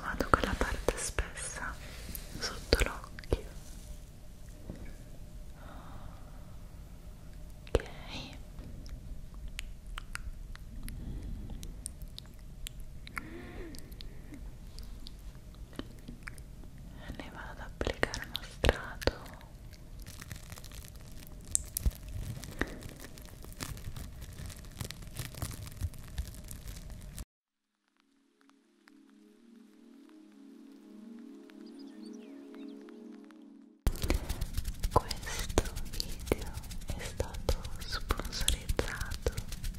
vado con la parte spessa sotto l'occhio ok ne vado ad applicare uno strato questo video è stato sponsorizzato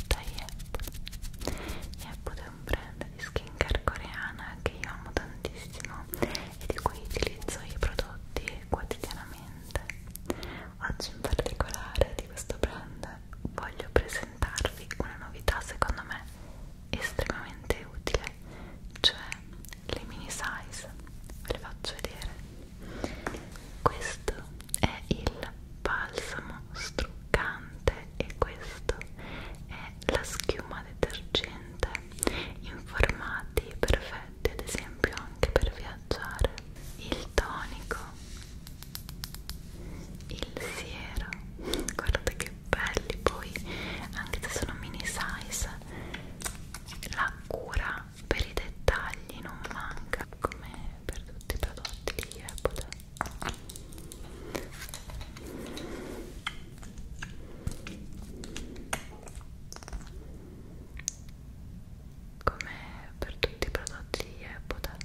da Yep. Yep è un brand di skincare coreana che io amo tantissimo e di cui utilizzo i prodotti quotidianamente. Oggi in particolare di questo brand voglio presentarvi una novità secondo me estremamente utile, cioè le mini size, ve le faccio vedere. Questo è il balsamo struccante e questo è la schiuma detergente in formati perfetti, ad esempio anche per via assaggiare il tonico, il siero, guardate che belli poi, anche se sono mini size, la cura per i dettagli non manca, come per tutti i prodotti di Apple come per tutti i prodotti di Apple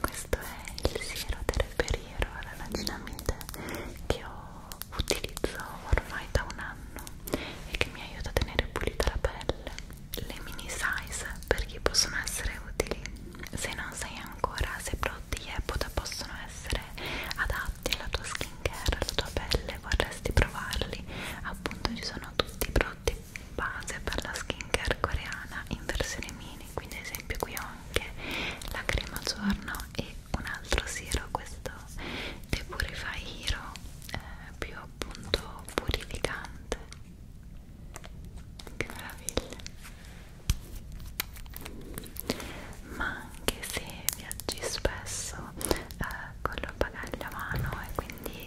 questo è il siero terperiero alla lacinamide che ho, utilizzo ormai da un anno e che mi aiuta a tenere pulita la pelle le mini size perché possono essere utili se non sai ancora se i prodotti di Apple possono essere adatti alla tua skin care alla tua pelle vorresti provarli appunto ci sono tutti i prodotti base per la skincare coreana in versione mini quindi ad esempio qui ho anche la crema giorno e un altro siero questo Depurify Hero eh, più appunto purificante che meraviglia ma anche se viaggi spesso eh, con lo bagaglio a mano e quindi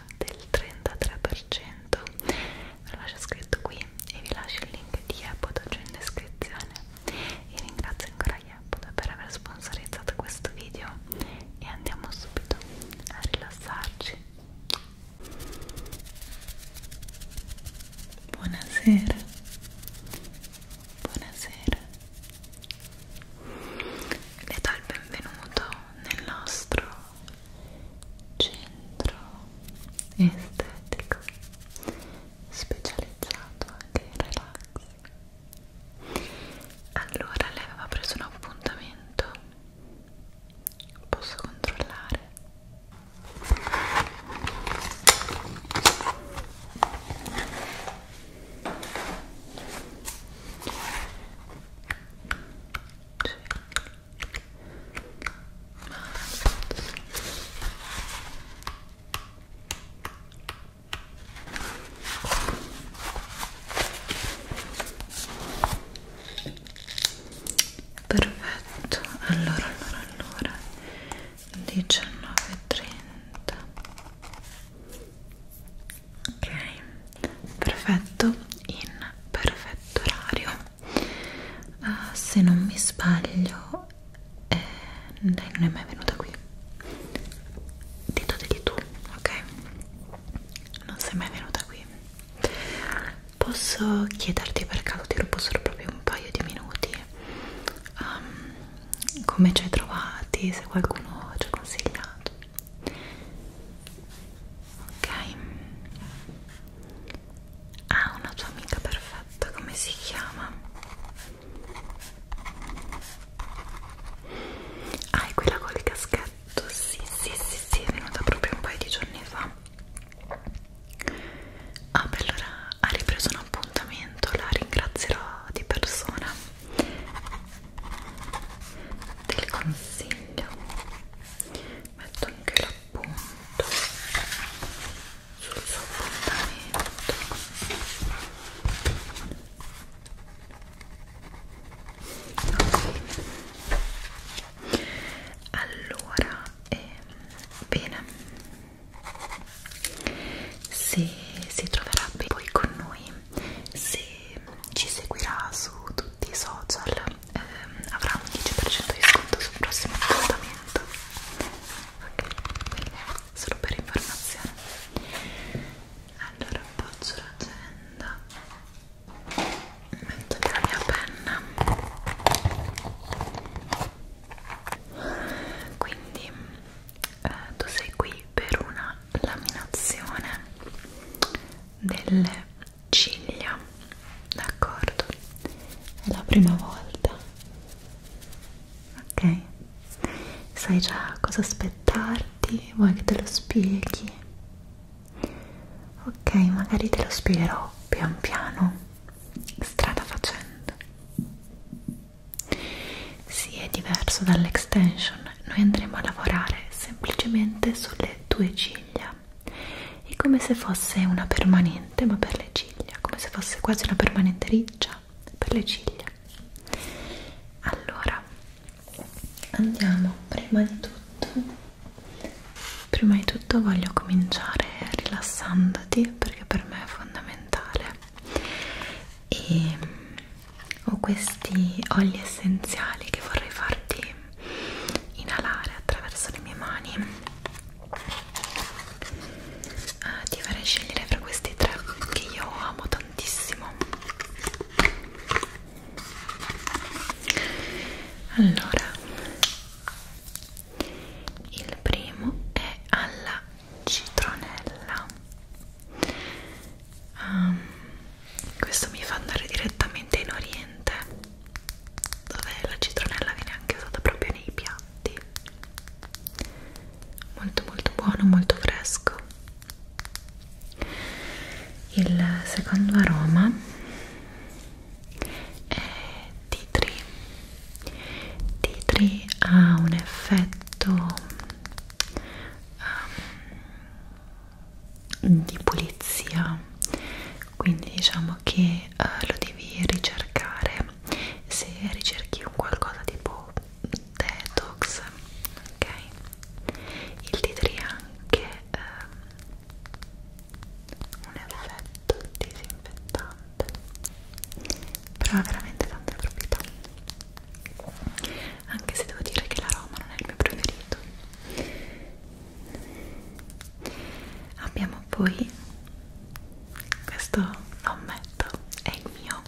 metà del 33% ve lo lascio scritto qui e vi lascio il link di Yepoda giù in descrizione e ringrazio ancora Yepoda per aver sponsorizzato questo video e andiamo subito a rilassarci buonasera buonasera le do il benvenuto nel nostro centro estetico specializzato anche in relax allora lei aveva preso un appuntamento posso controllare Perfetto, allora, allora, allora, 19.30 ok perfetto in perfetto orario uh, se non mi sbaglio eh, lei non è mai venuta qui diteli tu ok non sei mai venuta qui posso chiederti per caso ti rubo solo proprio un paio di minuti um, come ci hai trovati se qualcuno ci ha consigliato ok ah una tua amica perfetta come si chiama ah è quella col caschetto sì sì sì sì è venuta proprio un paio di giorni fa ah beh allora ha ripreso un appuntamento la ringrazierò di persona del consiglio metto anche l'appunto sul suo appuntamento okay. allora ehm, bene se si troverà poi con noi se ci seguirà su tutti tutti i social eh, avrà un 10% di sconto sul prossimo appuntamento ok, solo per informazione allora appoggio l'agenda metto la mia penna quindi eh, tu sei qui per una laminazione delle ciglia d'accordo è la prima volta ok sai già cosa aspettarti vuoi che te lo spieghi ok magari te lo spiegherò pian piano strada facendo si sì, è diverso dall'extension noi andremo a lavorare semplicemente sulle tue ciglia è come se fosse una permanente ma per le ciglia come se fosse quasi una permanente riccia per le ciglia allora andiamo prima di tutto prima di tutto voglio cominciare rilassandoti perché per me è fondamentale e ho questi oli essenziali che vorrei farti inalare attraverso le mie mani eh, ti farei scegliere fra questi tre che io amo tantissimo allora il primo è alla citronella um, questo mi fa andare direttamente in oriente dove la citronella viene anche usata proprio nei piatti molto molto buono molto fresco il secondo aroma è tea tree tea tree ha un effetto um, di pulizia quindi diciamo che eh, lo devi ricercare se ricerchi un qualcosa tipo detox ok il tea anche eh, un effetto disinfettante però ha veramente tante proprietà anche se devo dire che l'aroma non è il mio preferito abbiamo poi questo lo ammetto è il mio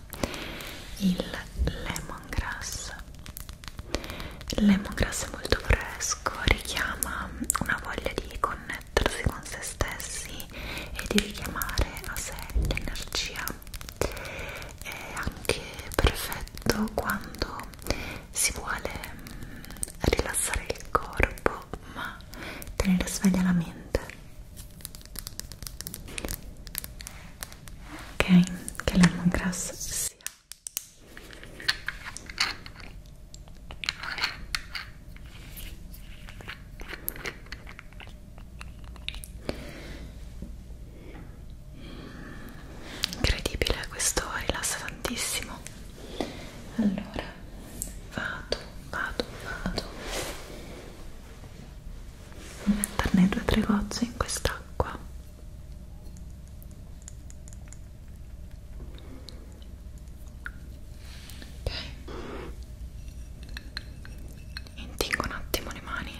il lemongrass il lemongrass è molto fresco richiama una voglia di connettersi con se stessi e di richiamare a sé l'energia è anche perfetto quando si vuole mm, rilassare il corpo ma tenere sveglia la mente ok che lemongrass sia incredibile questo rilassa tantissimo allora vado vado vado a metterne due o tre gocce in quest'acqua ok intingo un attimo le mani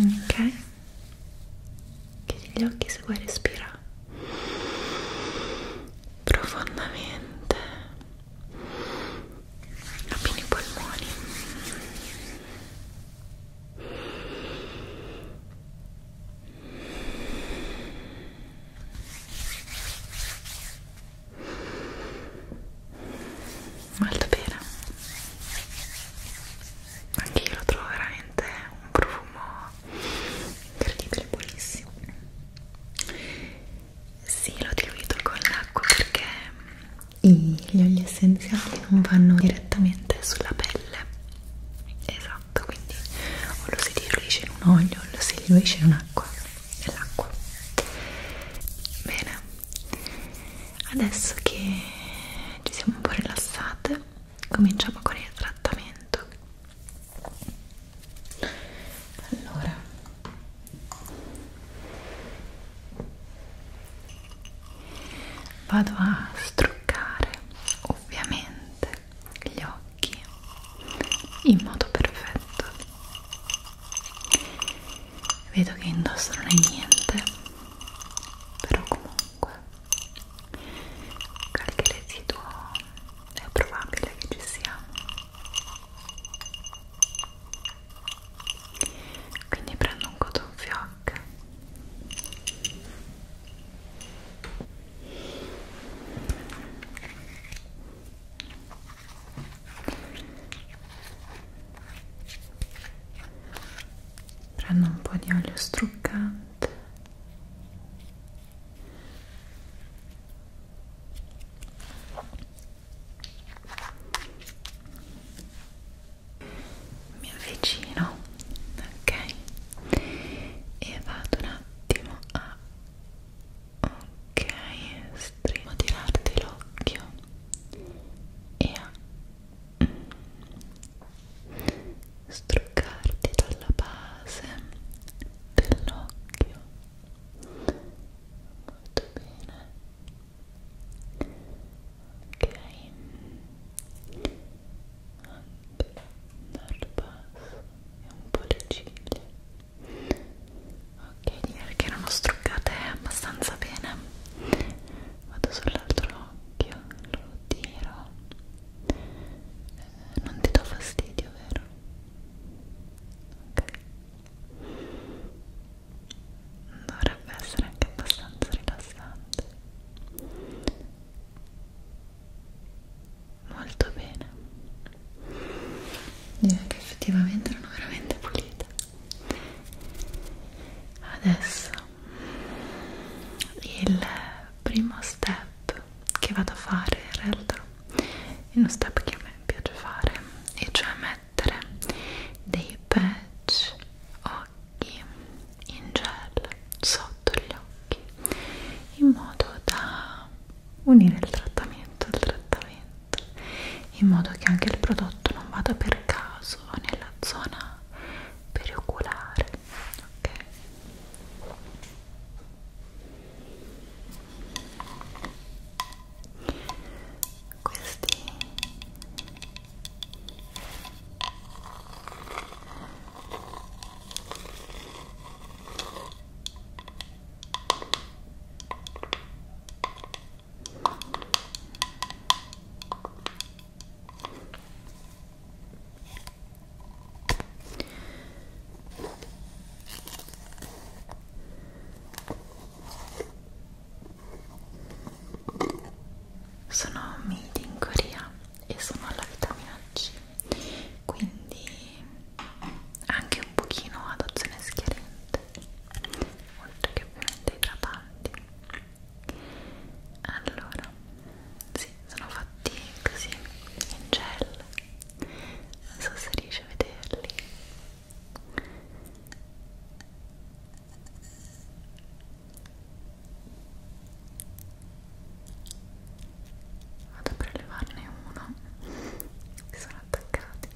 ok chiudi gli occhi se vuoi respira profondamente appieni i polmoni molto bene anche io lo trovo veramente un profumo incredibile buonissimo sì l'ho diluito con l'acqua perché mm, gli oli essenziali non vanno direttamente sulla pelle esatto matto quindi o lo si diluisce in un olio o lo si diluisce in un'acqua nell'acqua bene adesso che ci siamo un po' rilassate cominciamo con il trattamento allora vado a struccare ovviamente gli occhi in modo perfetto vedo che indosso non è niente però comunque qualche residuo è probabile che ci sia quindi prendo un cotton fioc prendo un po' di olio struccante mi avvicino ok e vado un attimo a ok estremo tirarti l'occhio e a mm, struccarti dalla base dell'occhio molto bene ok anche dal basso e un po' le ciglia ok direi che erano struccate abbastanza bene vado sull'altro occhio lo tiro eh, non ti do fastidio vero? ok dovrebbe essere anche abbastanza rilassante molto bene direi che effettivamente erano veramente pulite adesso il primo step che vado a fare in realtà è uno step che a me piace fare e cioè mettere dei patch occhi in gel so sotto gli occhi in modo da unire il trattamento al trattamento in modo che anche il prodotto non vada per caso nella zona perioculare ok questi sono made in Corea e sono alla vitamina C quindi anche un pochino ad azione schiarente oltre che ovviamente idratanti allora sì, sono fatti così in gel non so se riesci a vederli vado a prelevarne uno che sono attaccati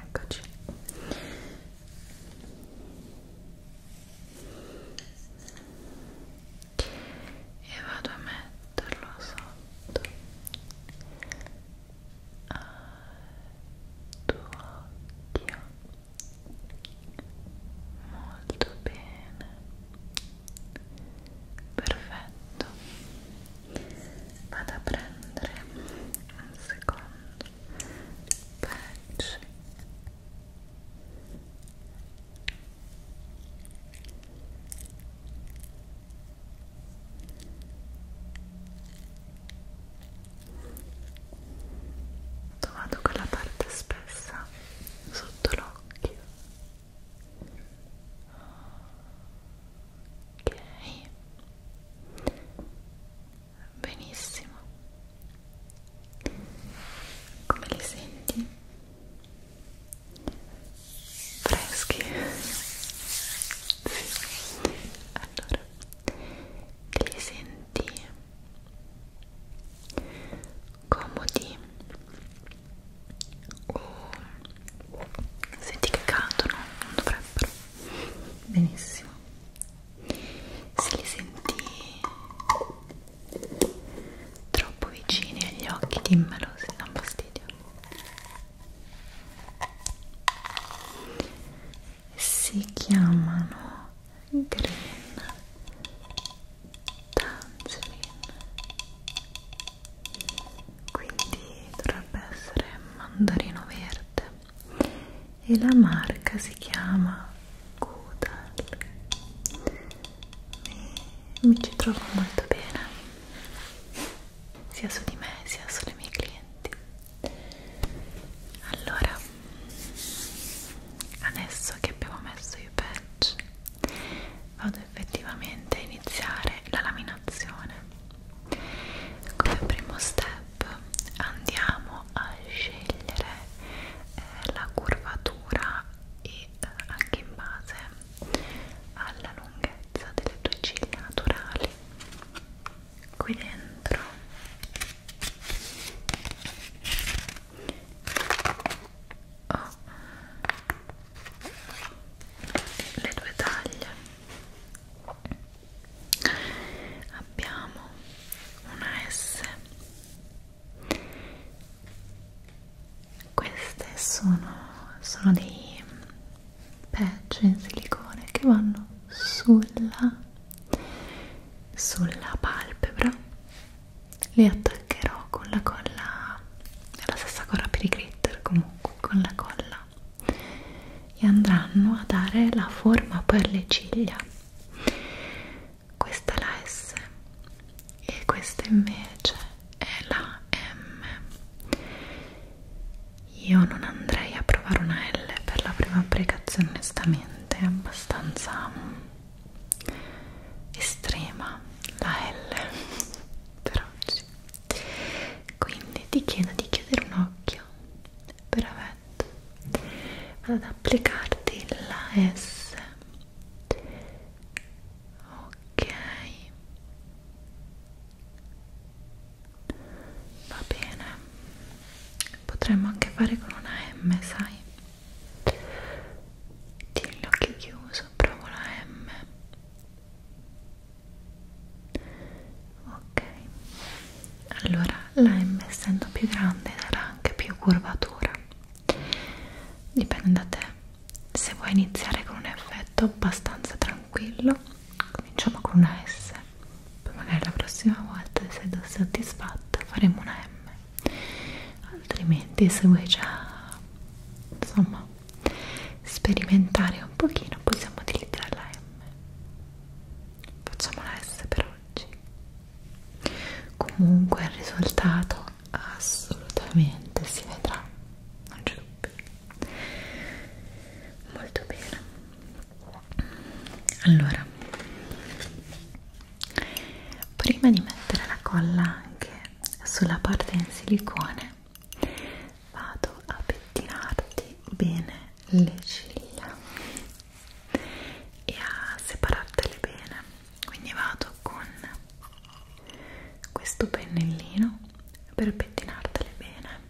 eccoci e vado a metterlo sotto al tuo occhio molto bene perfetto vado a prendere un secondo patch Vado con la parte spessa sotto l'occhio. Ok. Benissimo. Come li senti? freschi sì. allora li senti comodi o senti che cadono non dovrebbero benissimo se li senti troppo vicini agli occhi dimmelo se dà un fastidio si chiamano green tangerine quindi dovrebbe essere mandarino verde e la marca si chiama Goodall mi, mi ci trovo molto bene sia su di me sia sulle mie clienti allora adesso che abbiamo messo i patch vado effettivamente a iniziare la laminazione come primo step andiamo a scegliere eh, la curvatura e eh, anche in base alla lunghezza delle tue ciglia naturali qui dentro ho oh. le due taglie abbiamo una S queste sono, sono dei patch in silicone che vanno sulla, sulla palpebra le attaccherò con la colla è la stessa colla per i glitter comunque con la colla e andranno a dare la forma per le ciglia questa è la S e questa invece è la M io non andrei a provare una L per la prima applicazione, onestamente, è abbastanza mm, estrema la L per oggi. Quindi ti chiedo di chiudere un occhio, perfetto. Vado ad applicarti la S. Ok va bene potremmo anche fare con una M sai tieni l'occhio chiuso provo la M ok allora la M essendo più grande sarà anche più curvatura dipende da te se vuoi iniziare con un effetto abbastanza tranquillo cominciamo con una S poi magari la prossima volta se sei soddisfatta faremo una M altrimenti se vuoi già insomma sperimentare un pochino possiamo utilizzare la M facciamo la S per oggi comunque il risultato assolutamente si vedrà non c'è dubbio molto bene allora prima di mettere la colla anche sulla parte in silicone vado a pettinarti bene le ciglia e a separartele bene quindi vado con questo pennellino per pettinartele bene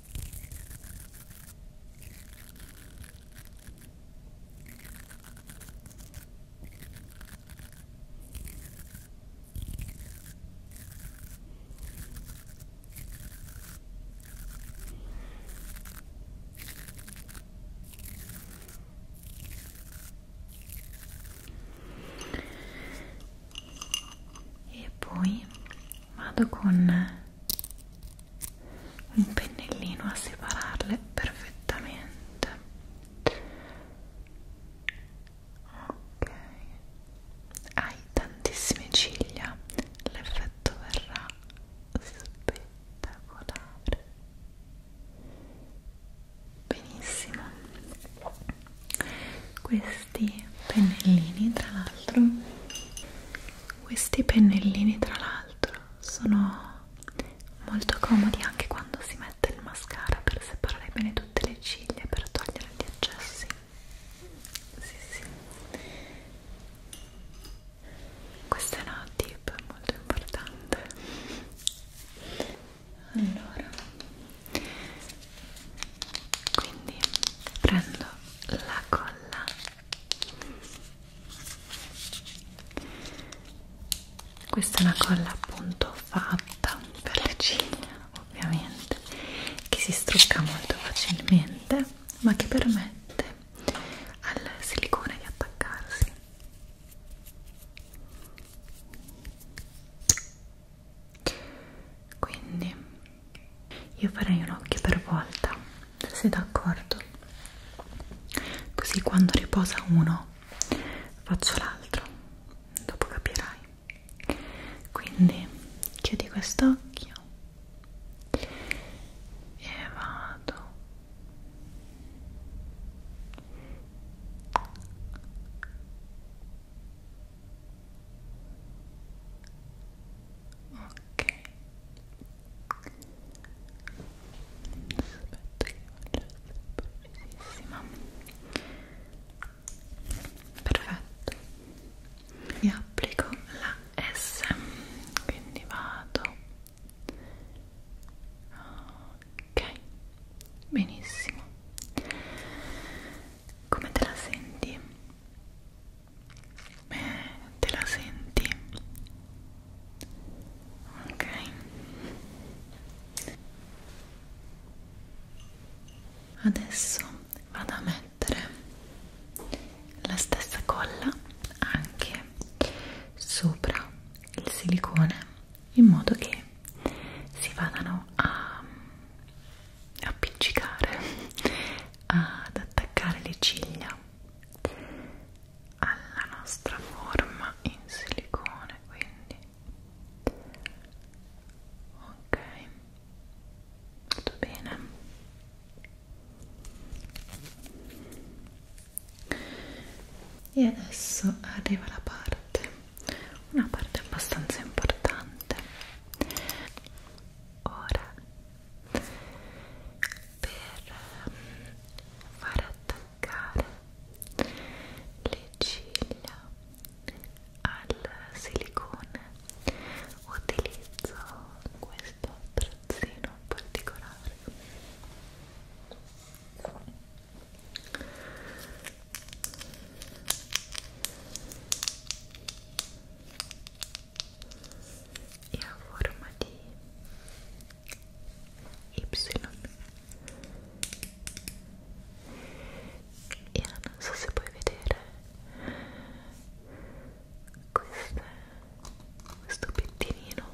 e poi vado con un pennellino a separarle perfettamente ok hai tantissime ciglia l'effetto verrà spettacolare benissimo questi pennellini tra l'altro questi pennellini tra l'altro sono molto comodi anche quando si mette il mascara per separare bene tutte le ciglia per togliere gli eccessi sì, sì. questo è una tip molto importante allora quindi prendo la colla questa è una colla appunto fatta per le ciglia ovviamente che si strucca molto facilmente ma che permette al silicone di attaccarsi quindi io farei un occhio per volta, se sei d'accordo. Così quando riposa uno faccio l'altro, dopo capirai. Quindi chiudi quest'occhio e vado ok aspetta che faccia precisissima perfetto e applico la S quindi vado ok benissimo come te la senti? te la senti ok adesso vado a mettere la stessa colla anche sopra il silicone in modo che si vadano a appiccicare ad attaccare le ciglia alla nostra forma in silicone quindi ok tutto bene e adesso arriva la parte una parte abbastanza importante ora per far attaccare le ciglia al silicone utilizzo questo trazzino particolare e è a forma di Y e non so se puoi vedere queste, questo pettinino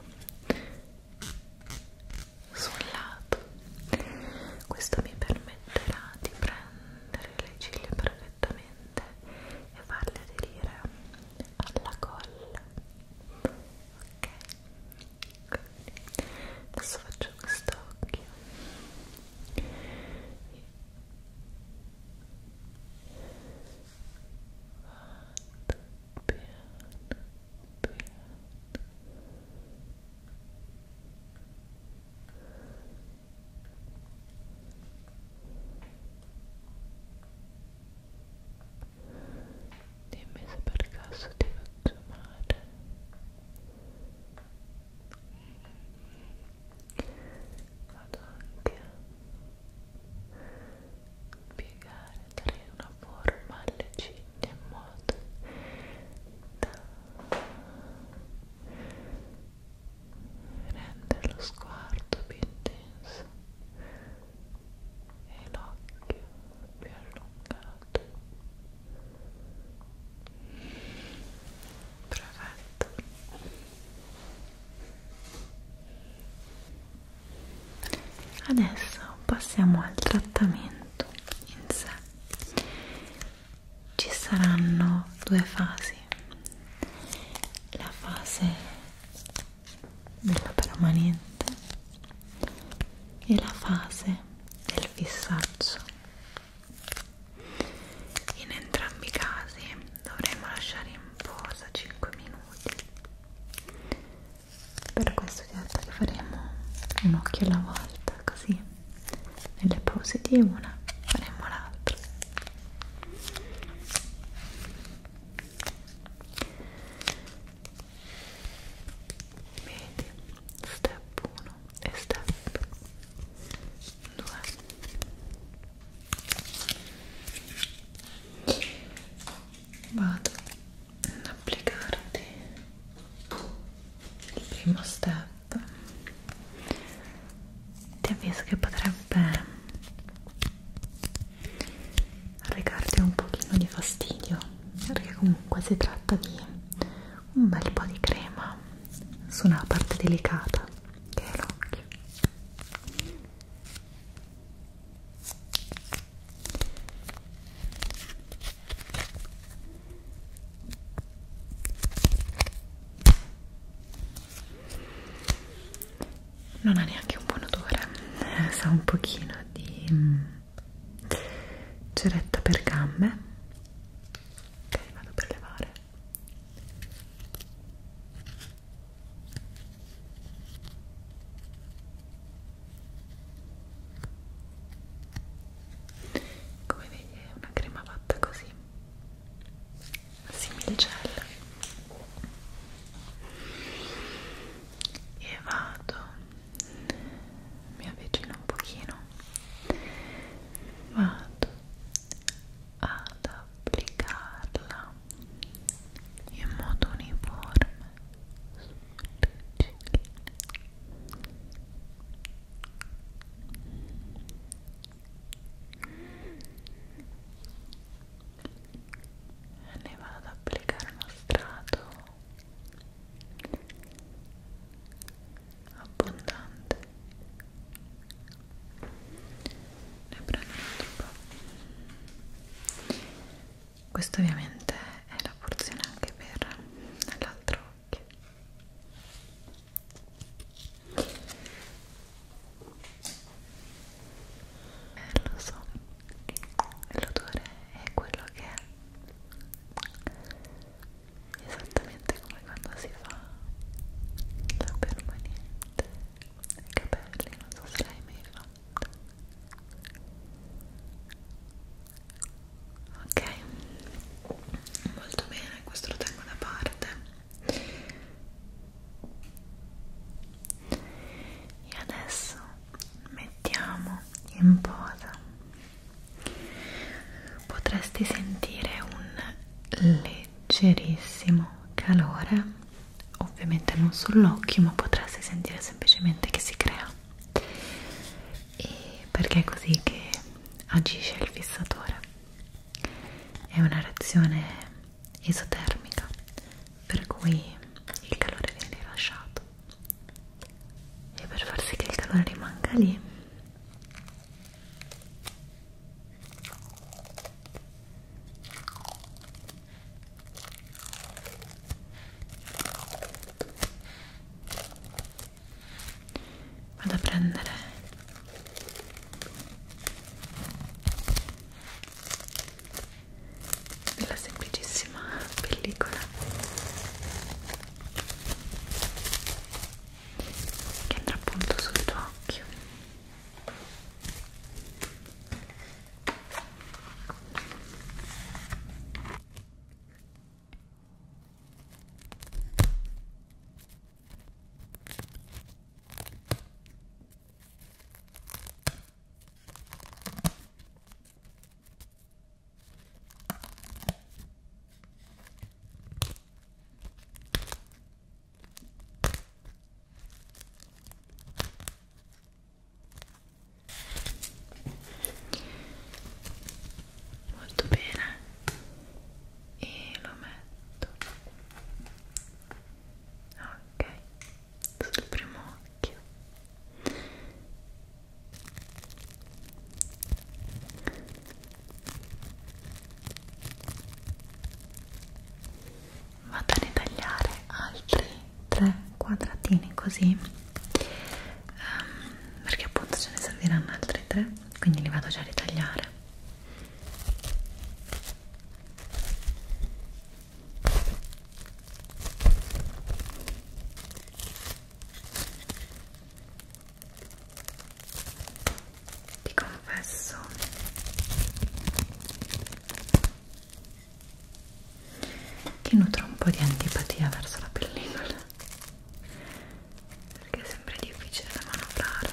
sul lato questo mi permetterà di prendere le ciglia perfettamente e farle aderire alla colla ok Quindi adesso faccio questo occhio Vado piano piano dimmi se per caso ti faccio male vado anche a piegare dare una forma alle ciglia in modo da rende lo sguardo più intenso e l'occhio più allungato perfetto adesso passiamo al trattamento in sé ci saranno due fasi fasi la fase della permanente e la fase del fissaggio in entrambi i casi dovremo lasciare in posa 5 minuti per questo ti ho detto che faremo un occhio alla volta così nelle pause di una faremo l'altra Vedi, step 1 e step 2 vado ad applicarti il primo step ti avviso che potrebbe recarti un pochino di fastidio perché comunque si tratta di un bel po' di crema su una parte delicata che è l'occhio non ha neanche un buon odore eh, sa un pochino di mm, ceretta per gambe ok vado per levare come vedi è una crema fatta così simil gel e vado mi avvicino un pochino vado ad applicarla in modo uniforme sulle ciglia ne vado ad applicare uno strato abbondante ne prendo un altro po' questo ovviamente è la porzione anche per l'altro occhio eh, lo so l'odore è quello che è esattamente come quando si fa la permanente ai capelli non so se l'hai mai fatto ok molto bene questo lo tengo da parte e adesso mettiamo in posa potresti sentire un leggerissimo calore ovviamente non sull'occhio ma potresti sentire semplicemente che si crea e perché è così che agisce il fissatore è una reazione esotermica per cui il calore viene rilasciato e per far sì che il calore rimanga lì vado a prendere della semplicissima pellicola che andrà appunto sul tuo occhio molto bene e lo metto ok sul primo occhio vado a ritagliare altri tre quadratini così um, perché appunto ce ne serviranno altri tre quindi li vado già a ritagliare ti confesso che nutro un po' di antipatia verso la pellicola perché è sempre difficile da manovrare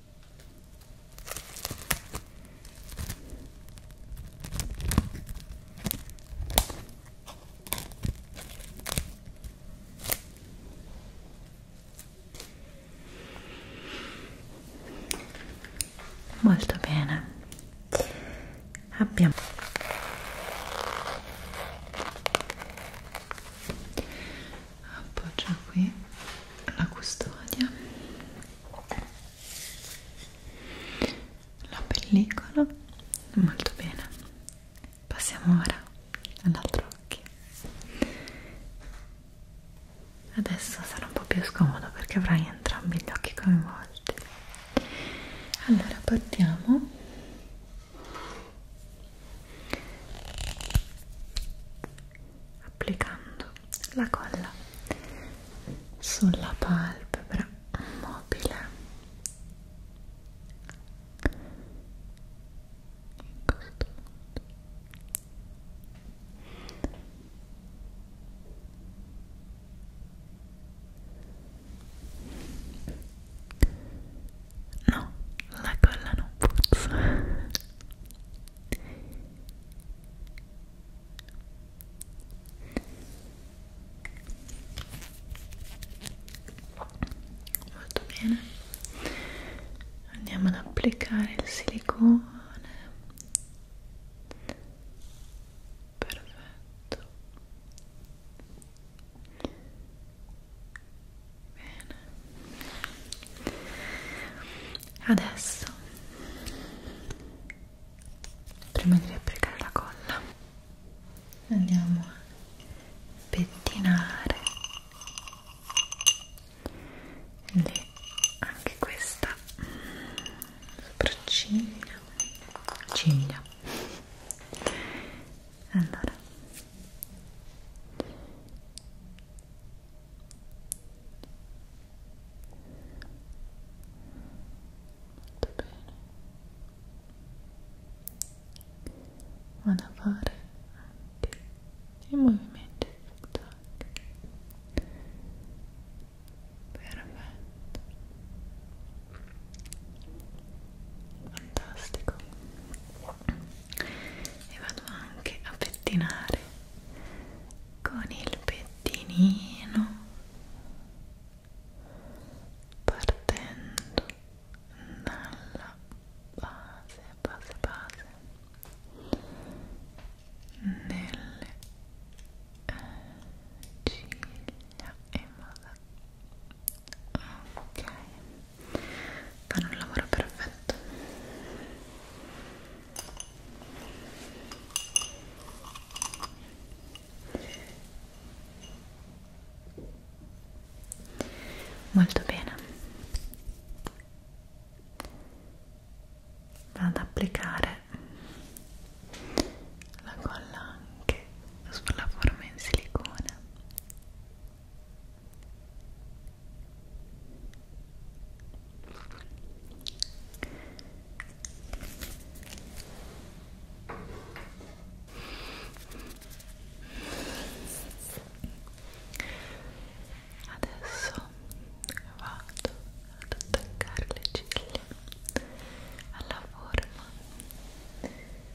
Molto bene. Abbiamo appoggio qui la custodia la pellicola molto bene passiamo ora all'altro occhio adesso sarà un po' più scomodo perché avrai entrambi gli occhi coinvolti allora partiamo applicando la colla sulla palpebra mobile in questo modo No, la colla non puzza. Molto bene. Andiamo ad applicare il silicone. Perfetto. Bene. Adesso, prima di applicare la colla, andiamo a pettinare le, anche questa sopracciglia, ciglia allora. Molto bene. Vado a fare anche i movimenti zigzag. Perfetto. Fantastico e vado anche a pettinare con il pettinino partendo dalla base, base, base nelle eh, ciglia e moda ok fanno il lavoro perfetto molto bene vado ad applicare la colla anche sulla forma in silicone Adesso vado ad attaccare le ciglia alla forma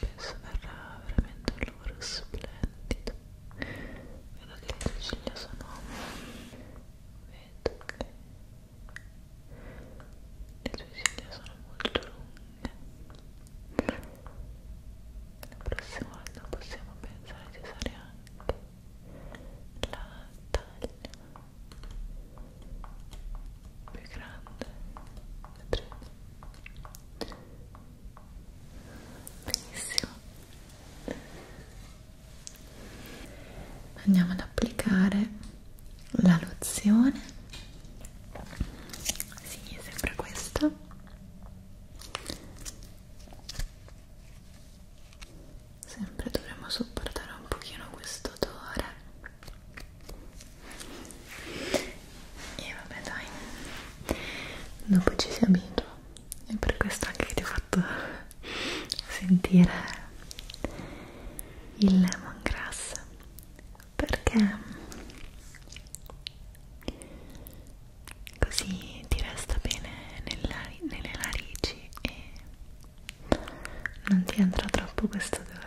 penso verrà veramente un lavoro splendido vedo che le tue ciglia sono vedo che le tue ciglia sono molto lunghe la prossima volta possiamo pensare di usare anche la taglia più grande vedrete benissimo andiamo ad applicare la lozione si sì, sembra questa sempre dovremmo sopportare un pochino questo odore e vabbè dai dopo ci si abitua è per questo anche che ti ho fatto sentire il lemongrass perché così ti resta bene nella, nelle narici e non ti entra troppo questo odore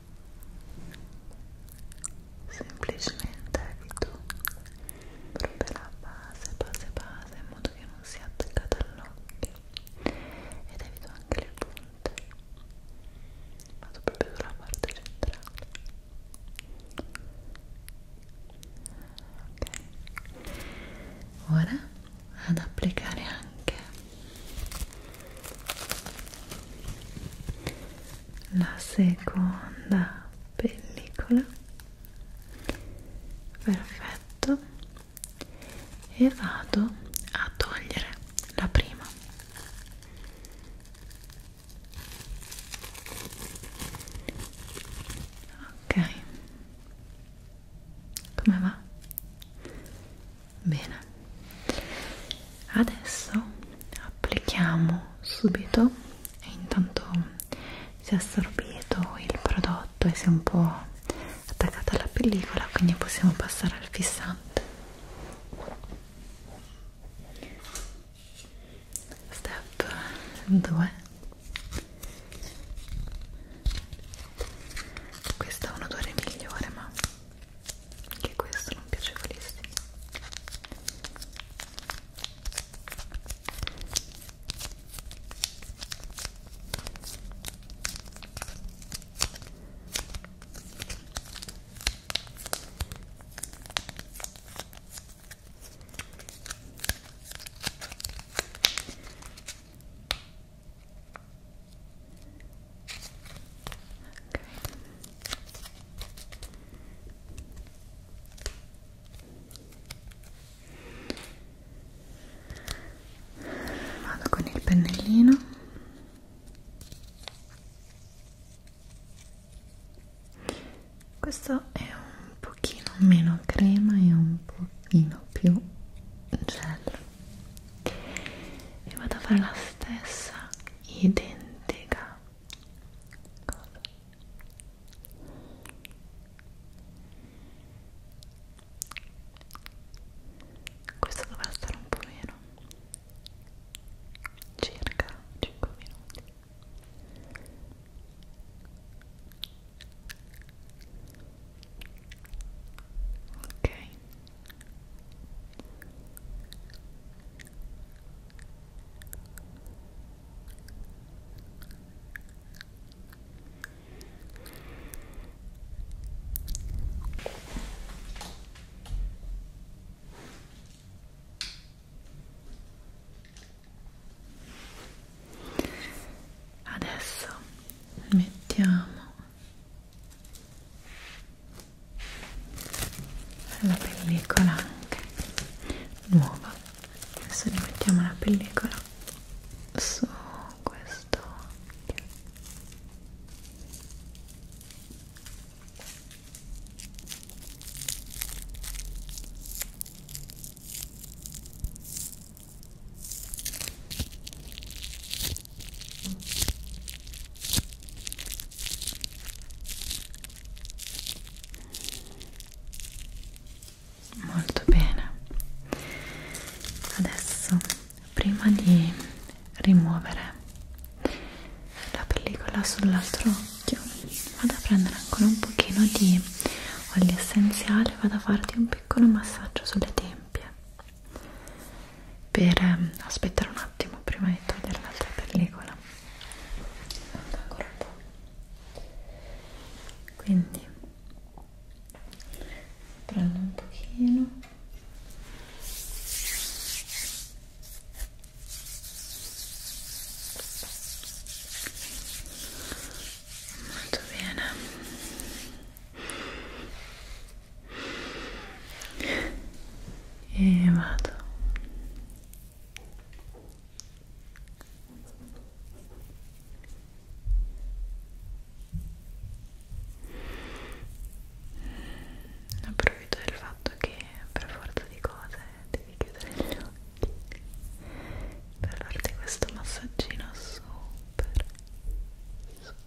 semplicemente evito proprio la base, base, base in modo che non sia attaccata all'occhio ed evito anche le punte vado proprio sulla parte centrale ok ora ad applicare anche la seconda pellicola perfetto e vado a togliere la prima ok come va? bene adesso applichiamo subito e intanto si è assorbito il prodotto e si è un po' attaccata alla pellicola quindi possiamo passare al fissante step 2 questo ha un odore migliore ma anche questo non piacevolissimo Okay. Vado con il pennellino. Questo è un pochino meno crema e un pochino più gel e vado a fare la stessa identica cosa questo dovrà stare un po' meno circa 5 minuti ok Adesso mettiamo la pellicola anche nuova adesso rimettiamo la pellicola su questo occhio Molto bene. Adesso, prima di rimuovere la pellicola sull'altro occhio, vado a prendere ancora un pochino di olio essenziale, vado a farti un piccolo massaggio sulle tempie per ehm, aspettare un attimo prima di togliere l'altra pellicola ancora un po' quindi prendo un pochino molto bene e vado approfitto del fatto che per forza di cose devi chiudere gli occhi per farti questo massaggino super super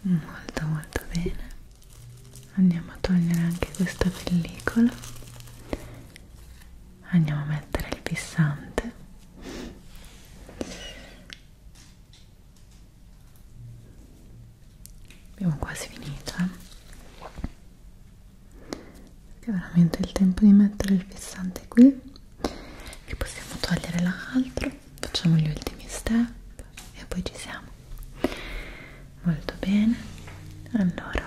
molto molto bene andiamo a togliere anche questa pellicola andiamo a mettere il pissante abbiamo quasi finito eh? è veramente il tempo di mettere il fissante qui che possiamo togliere l'altro facciamo gli ultimi step e poi ci siamo molto bene allora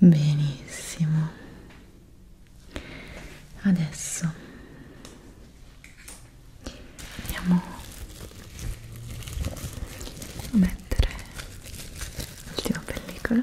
Benissimo. Adesso andiamo a mettere l'ultima pellicola.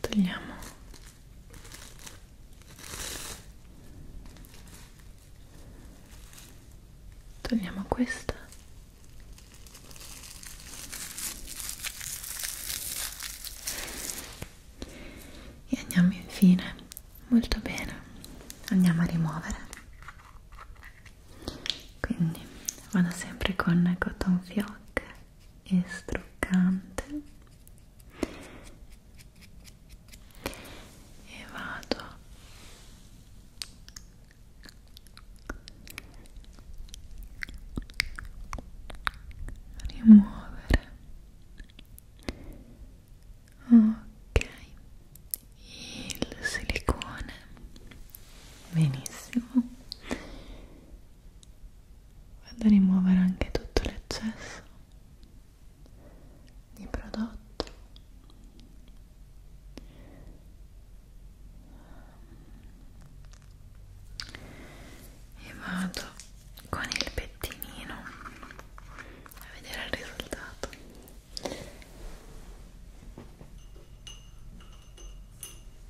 togliamo togliamo questa e andiamo infine molto bene andiamo a rimuovere quindi vado sempre con cotton fioc e struccante e vado a rimuovere ok il silicone benissimo vado a rimuovere anche tutto l'eccesso di prodotto e vado con il pettinino a vedere il risultato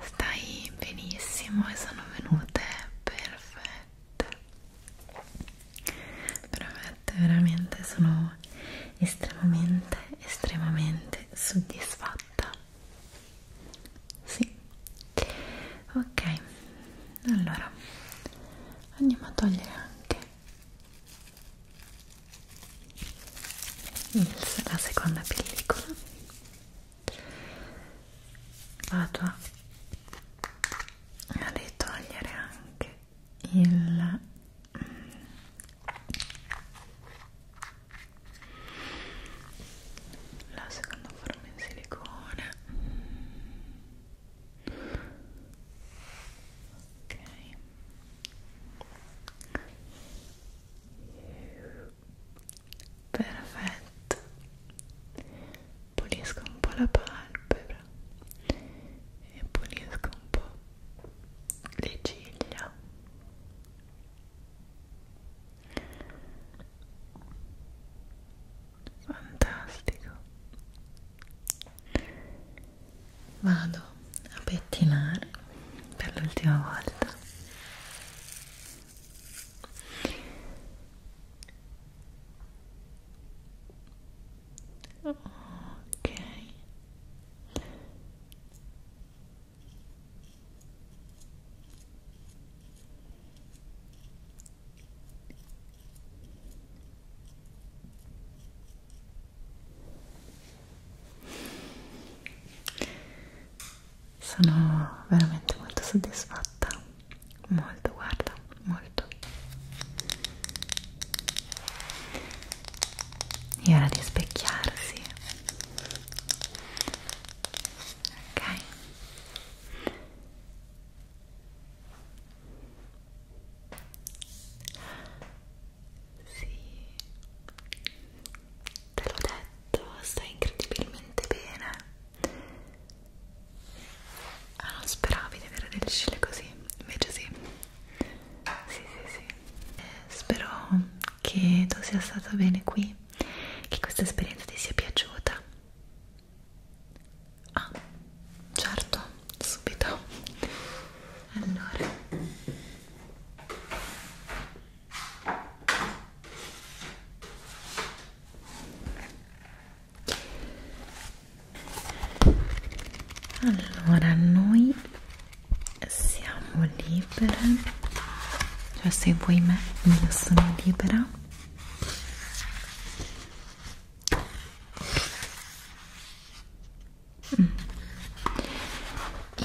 Stai benissimo e sono venute perfette. Veramente, veramente sono estremamente, estremamente soddisfatta. Sì. Ok, allora andiamo a togliere anche il, la seconda pellicola vado a ritogliere anche il mm, la seconda forma in silicone ok perfetto pulisco un po' la palpebra e pulisco un po' le ciglia fantastico vado a pettinare per l'ultima volta ok sono veramente molto soddisfatta molto guarda molto e ora di specchiarsi ok sì, te l'ho detto, stai incredibilmente bene. Ah, non speravi di avere del scile così, invece sì. Sì, sì, sì. Eh, spero che tu sia stata bene qui, che questa esperienza ti sia piaciuta. Ah, certo, subito. Allora allora noi siamo libere cioè se vuoi me io sono libera mm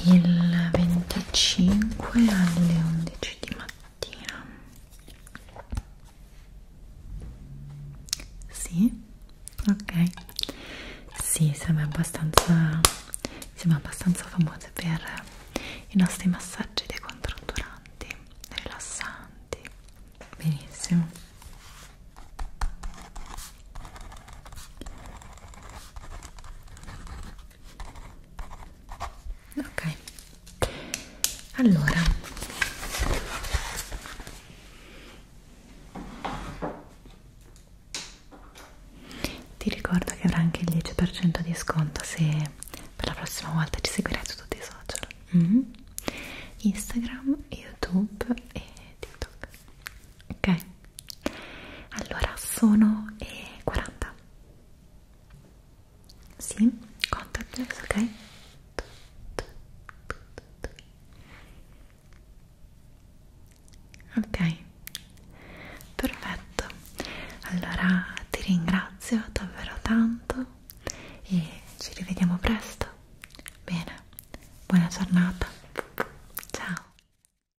il 25 alle 11 di mattina sì ok sì sembra abbastanza siamo abbastanza famose per i nostri massaggi decontratturanti rilassanti benissimo ok allora ti ricordo che avrai anche il 10% di sconto se per la prossima volta ci seguirai su tutti i social mm -hmm. Instagram, Youtube e TikTok ok allora sono eh, 40 sì contactless ok ok perfetto allora ti ringrazio davvero tanto e ci rivediamo presto bene buona giornata ciao